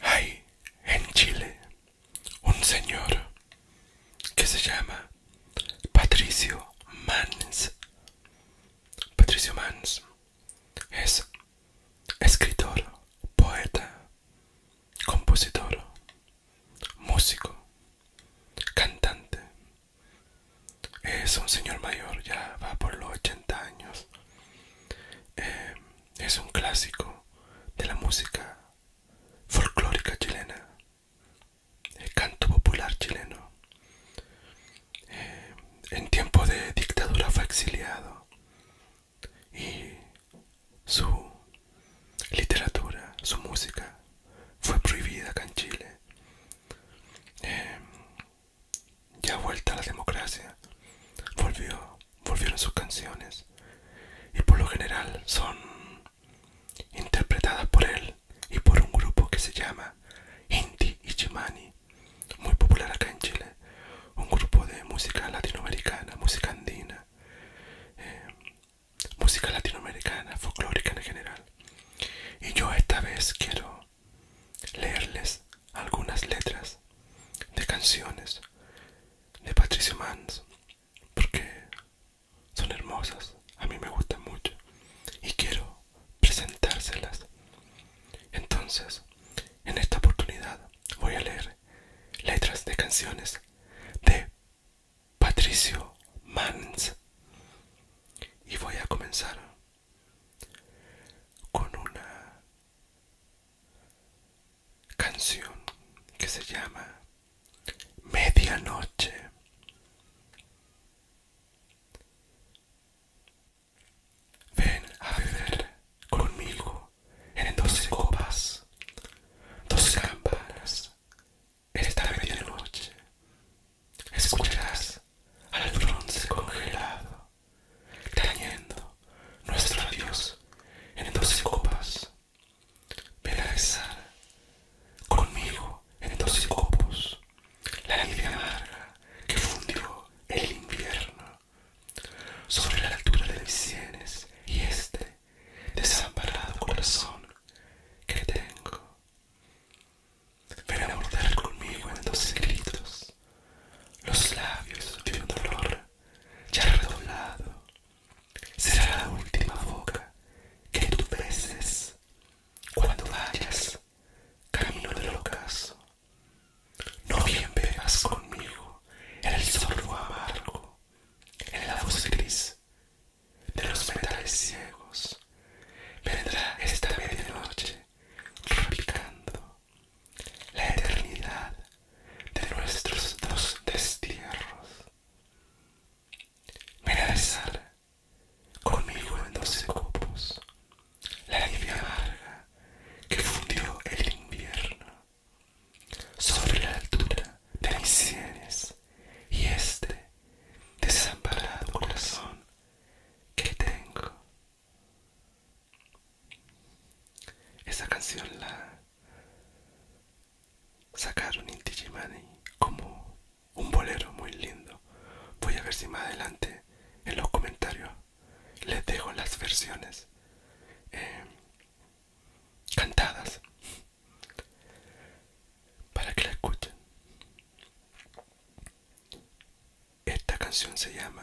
Hay en Chile un señor que se llama Patricio Mans. Patricio Mans es escritor, poeta, compositor, músico, cantante, es un señor mayor, ya va por los 80 años. Em, es un clásico de la música folclórica chilena, el canto popular chileno. Em, en tiempo de dictadura fue exiliado y su literatura, su música fue prohibida acá en Chile. Em, ya vuelta a la democracia, volvió, volvieron sus canciones y por lo general son interpretadas por él y por un grupo que se llama y Chimani muy popular acá en Chile, un grupo de música latinoamericana, música andina. Em, música latinoamericana, folclórica en general. Y yo esta vez quiero leerles algunas letras de canciones de Patricio Mans porque son hermosas, a mí me gustan mucho y quiero presentárselas. Entonces, en esta oportunidad voy a leer letras de canciones de Patricio Mans y voy a comenzar con una canción que se llama Medianoche. Ven a beber conmigo en dos copas, dos campanas en esta media noche escucharás al bronce congelado, trañendo nuestro adiós en doce copas. Ven conmigo en doce copos la alegría amarga que fundió el invierno sobre la altura de mis sienes y este desamparado corazón que tengo Ven a bordar conmigo en dos gritos, los labios de un dolor ya redoblado. Será la última boca que tú beses cuando vayas camino del ocaso. No bien veas conmigo en el sorbo amargo, en la voz gris de los metales ciegos. Vendrá esta medianoche replicando la eternidad de nuestros dos destierros. Ven conmigo en doce copos la nieve larga que fundió el invierno sobre la altura de mis sienes y este desamparado corazón que tengo. Esa canción la sacaron en como un bolero muy lindo. Voy a ver si más adelante en los comentarios les dejo las versiones eh, cantadas para que la escuchen. Esta canción se llama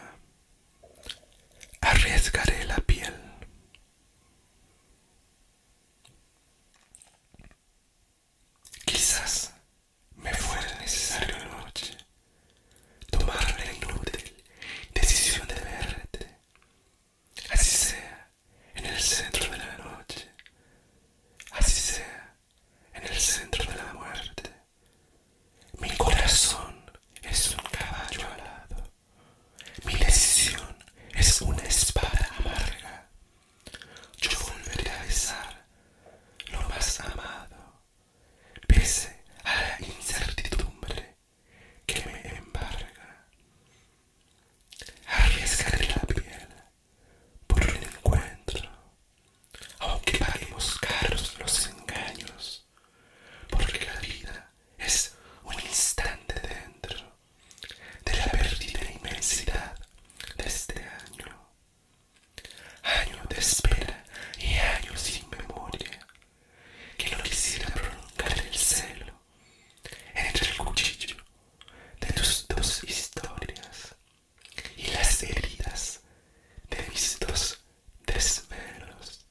Arriesgaré la piel. Quizás me fuera necesario una noche tomar la inútil decisión de verte. Así sea, en el centro de la noche, así sea, en el centro de la muerte. Mi corazón es un caballo alado, mi lesión es una espada amarga. Yo volveré a besar lo más amado, pese a la incertidumbre que me embarga. Arriesgaré la piel por el encuentro, aunque paremos caros los engaños, porque la vida es un instante dentro de la perdida inmensidad de este año, año de espera y año sin memoria, que no quisiera prolongar el celo entre el cuchillo de tus dos historias y las heridas de mis dos desvelos.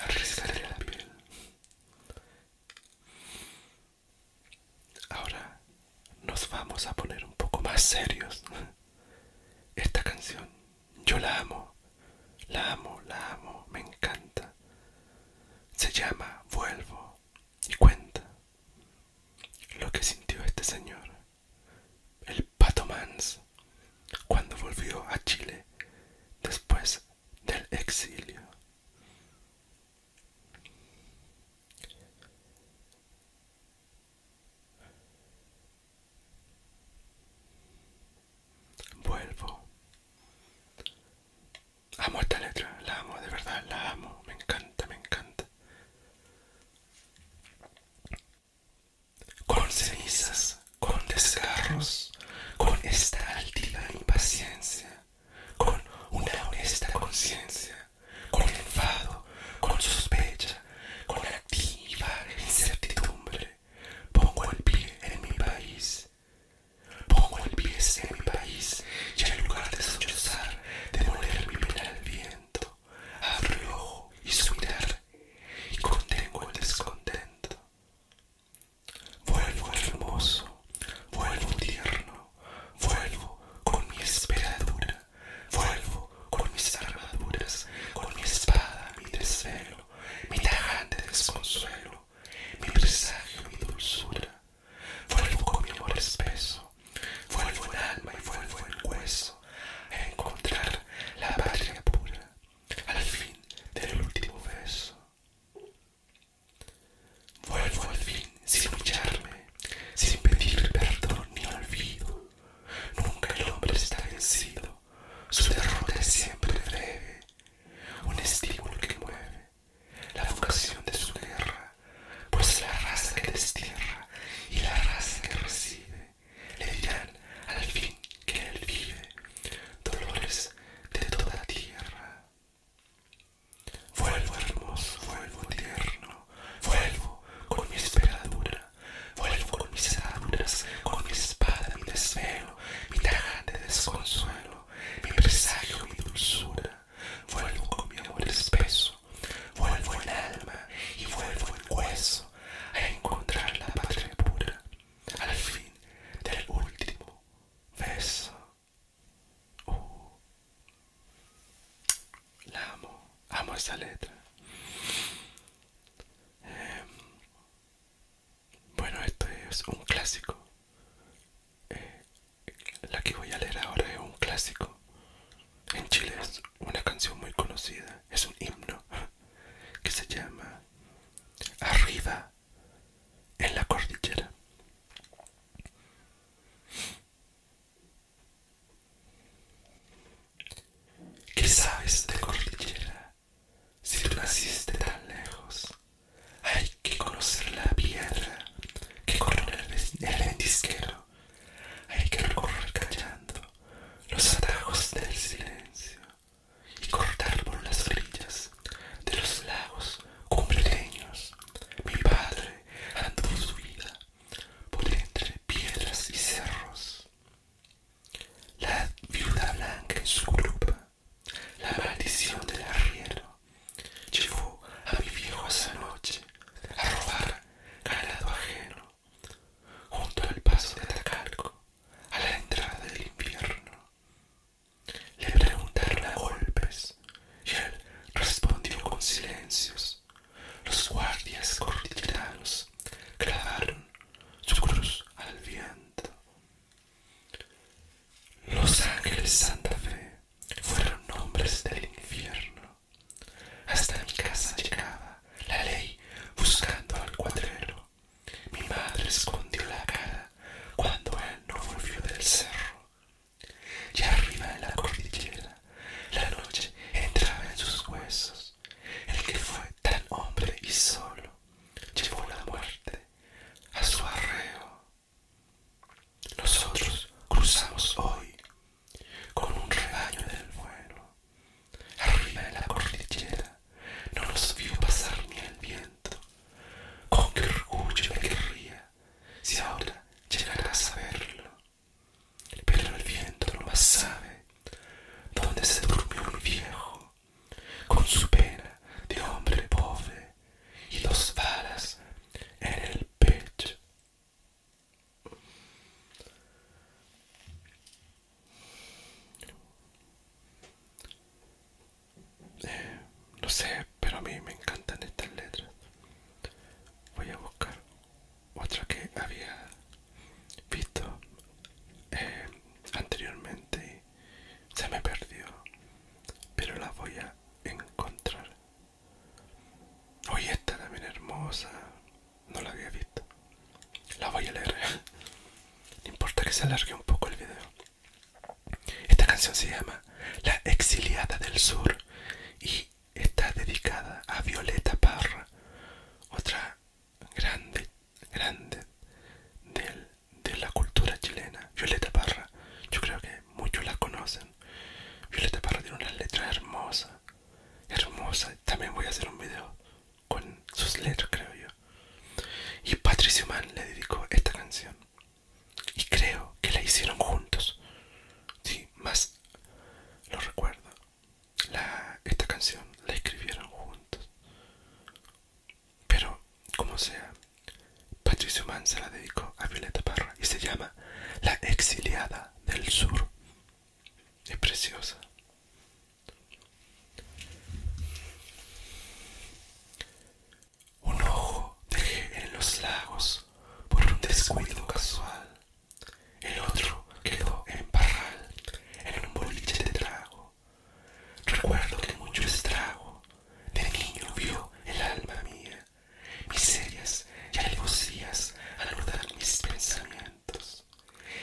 Arriscaré la piel. Ahora nos vamos a poner un poco más serios. Esta canción yo la amo, la amo, la amo, me encanta. Se llama Vuelvo y cuenta lo que sintió este señor, el Pato Mans, cuando volvió a Chile después del exilio. Vuelvo Amo esta letra, la amo, de verdad, la amo, me encanta, me encanta. Con cenizas, con desgarros, con esta altiva impaciencia, con una honesta conciencia, con enfado, con sospecha, con activa incertidumbre, pongo el pie en mi país Pongo el pie en mi país y en lugar de sollozar, de moler mi pena al viento, abro el ojo y su mirar y contengo el descontento. Vuelvo hermoso, vuelvo tierno, vuelvo con mi esperadura, vuelvo con mis armaduras, con mi espada, mi desvelo, mi tajante desconsuelo, mi presagio, mi dulzura. Fuego con mi amor espeso, vuelvo en alma y vuelvo en hueso a encontrar la patria pura al fin del último beso. Vuelvo al fin sin lucharme, sin pedir perdón ni olvido. Nunca el hombre está vencido, su derrota es siempre breve, un estímulo que mueve la vocación de su guerra, pues la raza que destierra y la raza que recibe le dirán al fin que él vive dolores de toda la tierra. Vuelvo hermoso, vuelvo eterno, vuelvo con mi esperadura, vuelvo con mis aduras, con mi espada, mi desvelo, mi de desconsuelo mi presagio, mi dulzura, vuelvo con mi amor espeso, vuelvo en alma y vuelvo el hueso a encontrar la patria pura, al fin del último beso. Uh, la amo, amo esta letra. Em, bueno, esto es un clásico. Eh, la que voy a leer ahora es un clásico. En Chile es una canción muy conocida, es un himno que se llama Arriba en la cordillera. ¿Qué sabes de cordillera? Si tú naciste tan lejos, hay que conocer la piedra que correr el ventisquero. Hay que recorrer callando los atajos del silencio y cortar por las orillas de los lagos cumbreños. Mi padre andó su vida por entre piedras y cerros. La viuda blanca en su grupa la maldición del arriero llevó a mi viejo esa noche a robar ganado ajeno, junto al paso de Atacalco, a la entrada del invierno. Le preguntaron a golpes y él respondió con silencios. Los guardias cordilleranos clavaron su cruz al viento. Los Ángeles Santa Fe fueron hombres del infierno. Hasta mi casa llegaba la ley buscando al cuadrero. Mi madre escondió la cara cuando él no volvió del cerro. Y arriba en la cordillera, la noche entraba en sus huesos. El que fue tan hombre y solo llevó la muerte a su arreo. Nosotros cruzamos hoy con un rebaño del vuelo. Arriba de la cordillera no nos vio pasar ni el viento. Con qué orgullo me querría si ahora llegara a saberlo. Pero el viento no más sabe dónde se durmió un viejo con su pena de hombre pobre y dos balas en el pecho. Eh, no sé, pero a mí me encantan estas letras. Voy a buscar otra que había visto eh, anteriormente se me perdió, pero la voy a encontrar. Hoy esta también hermosa, no la había visto. La voy a leer. No importa que se alargue un poco el video. Esta canción se llama La exiliada del sur y está dedicada a Violeta Parra, otra grande, grande del de la cultura chilena, Violeta Parra. Yo creo que muchos la conocen. Violeta Parra tiene una letra hermosa, Hermosa. También voy a hacer un video con sus letras, creo yo. Y Patricio Mann le dedicó esta canción. Y creo que la hicieron juntos. Sí, más lo recuerdo. esta canción la escribieron juntos. Pero, como sea, Patricio Mann se la dedicó a Violeta Parra y se llama La exiliada del sur. Es preciosa. Un ojo dejé en los lagos por un descuido casual. El otro quedó en parral, en un boliche de trago. Recuerdo que mucho estrago de niño vio el alma mía, miserias y alevosías al mis pensamientos.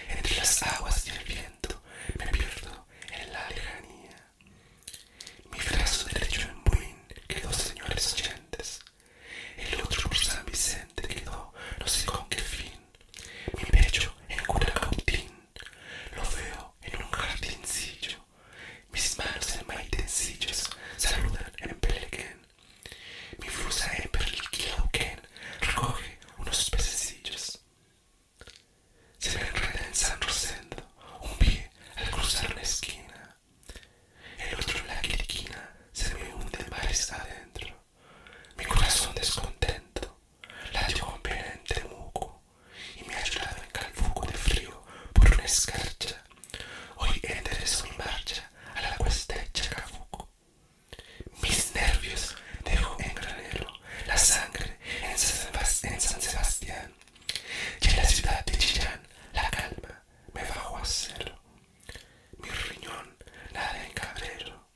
Entre las aguas y el viento me pierdo en la lejanía. Mi brazo derecho en Buin quedó, señores oyentes, el otro por San Vicente quedó, no sé con qué fin. Mi pecho en Cura-Cautín, lo veo en un jardincillo. Mis manos en maitencillos saludan en Pelequén. Mi frusa en Perliquilauquén recoge unos pececillos. Se me enreda en San Rosendo un pie al cruzar la esquina. El otro en la quiriquina se me hunde mares adentro. Mi corazón descontento la dio con pena en Temuco y me ha ayudado en Calfuco de frío por una escarcha. Hoy enderezo en marcha a la cuesta de Chacabuco. Mis nervios dejo en granero, la sangre en San Sebastián. Y en la ciudad de Chillán la calma me bajo a cero Mi riñón nada en cabrero,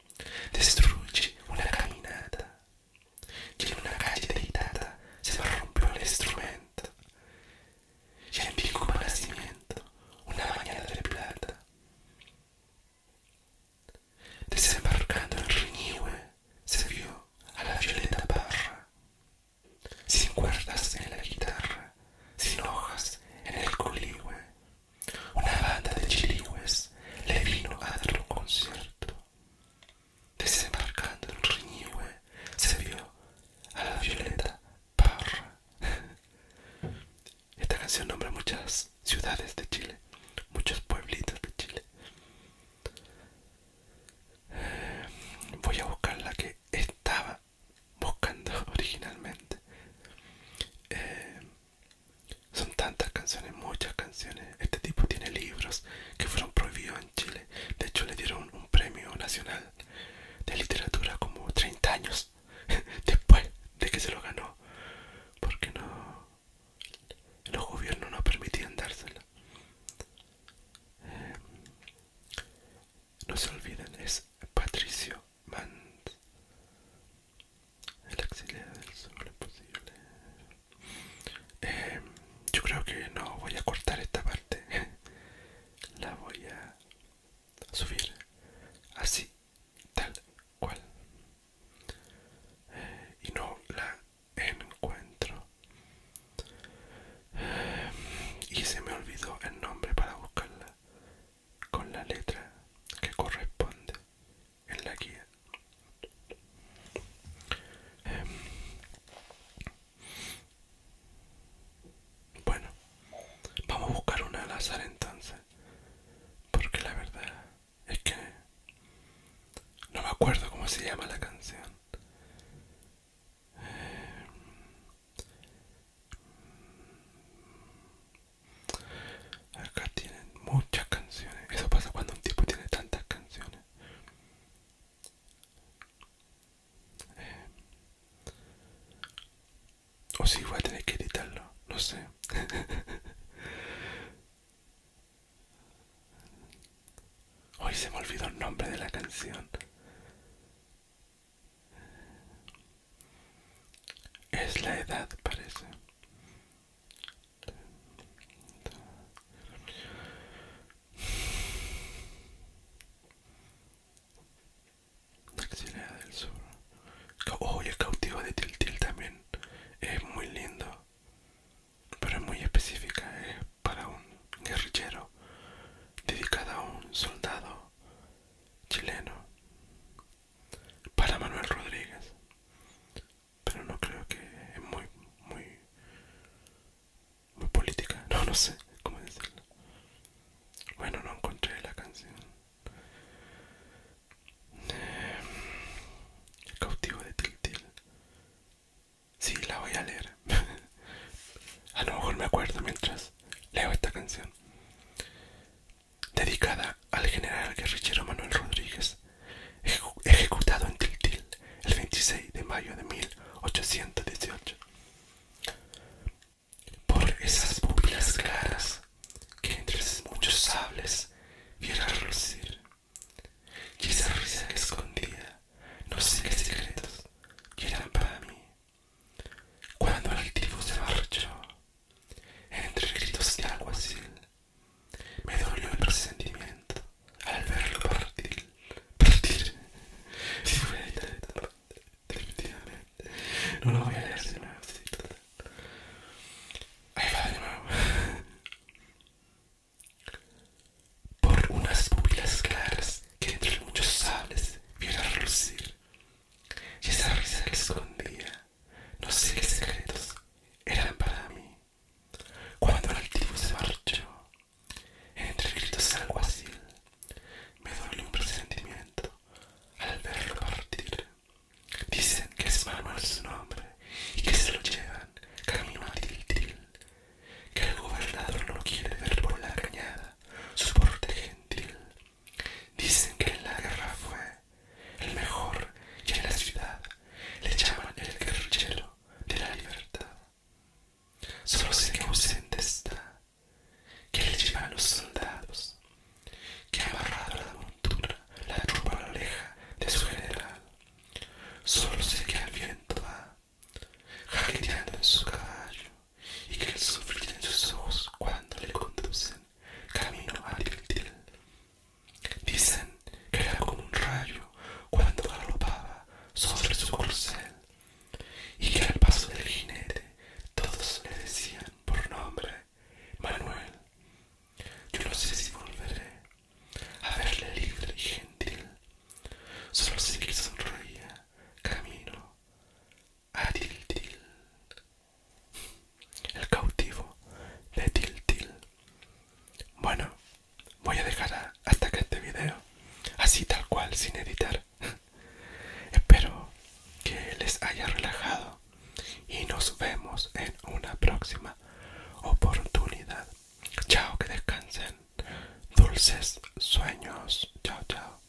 destruye una caminata y en una se se rompió el instrumento y en pico nacimiento una mañana de plata. Desembarcando en Riñihue se vio a la violeta parra, sin cuerdas en la guitarra, sin hojas en el coligüe. Una banda de chiligües le vino a dar un concierto. Desembarcando en Riñihue se vio a la Violeta Parra. Esta canción nombra muchas ciudades de Chile, muchos pueblitos de Chile. Eh, voy a buscar la que estaba buscando originalmente. Eh, son tantas canciones, muchas canciones. Este tipo tiene libros que fueron prohibidos en Chile. De hecho, le dieron un premio nacional de literatura como 30 años después de que se lo ganó. Porque no. Los gobiernos no permitían dárselo. Em, no se olviden, es Patricio Mans. El auxiliar del sol es posible. Em, yo creo que no voy a cortar esta parte. La voy a subir así, tal cual. Eh, y no la encuentro. Eh, y se me olvidó el nombre para buscarla con la letra que corresponde en la guía. Em, bueno, vamos a buscar una al azar entonces, porque la verdad es que no me acuerdo cómo se llama la canción. Em, Acá tienen muchas canciones. Eso pasa cuando un tipo tiene tantas canciones. Eh. O si voy a tener que editarlo, no sé. Hoy se me olvidó el nombre de la canción. Es la edad, parece. Taxilea del sur. Oh, y el cautivo de Tiltil también es muy lindo. Pero es muy específica, es para un guerrillero Dedicado a un soldado chileno. Para Manuel Rodríguez pero no creo que es muy, muy, muy política. No, no sé cómo decirlo. Bueno, no encontré la canción. el eh, cautivo de Tiltil. Sí, la voy a leer. a lo mejor me acuerdo mientras leo esta canción dedicada al general guerrillero Manuel Rodríguez, ejecutado en Tiltil el 26 de mayo de 1818. Por esas pupilas claras que entre muchos sables Vieron relucir, y esa risa escondida, escondía no sé qué secretos que eran para mí. Cuando el altivo se marchó, entre gritos de alguacil, me dolió el presentimiento al verlo partir. Partir. Si voy a estar definitivamente. No lo voy a leer de nuevo. Ahí va de nuevo. Por unas pupilas claras que entre muchos sables viera relucir. Y esa risa que escondía no sé qué secretos eran para mí. Cuando el altivo se marchó, entre gritos alguacil, me dolió un presentimiento al verlo partir. Dicen que es mal su nombre y que se lo llevan camino a Tiltil, que el gobernador no quiere ver por la cañada su porte gentil. Dicen que la guerra fue el mejor que en la ciudad le llaman el guerrillero de la libertad. Solo sé que ausente está, que le llevan los soldados, que ha amarrado la montura, la trupa la oreja de su general. Solo sé que al viento va, jaqueando en su caballo, y que el sufrir en sus ojos cuando le conducen camino a Dicen que era como un rayo cuando galopaba sobre su corcel y que al paso del jinete todos le decían por nombre Manuel. Yo no sé si volveré a verle libre y gentil, solo sé que sonreía camino a el cautivo de Tiltil. Bueno, voy a dejar hasta que este video, así tal cual, sin editar. Espero que les haya relajado y nos vemos en una próxima oportunidad. Chao, que descansen. Dulces sueños. Chao, chao.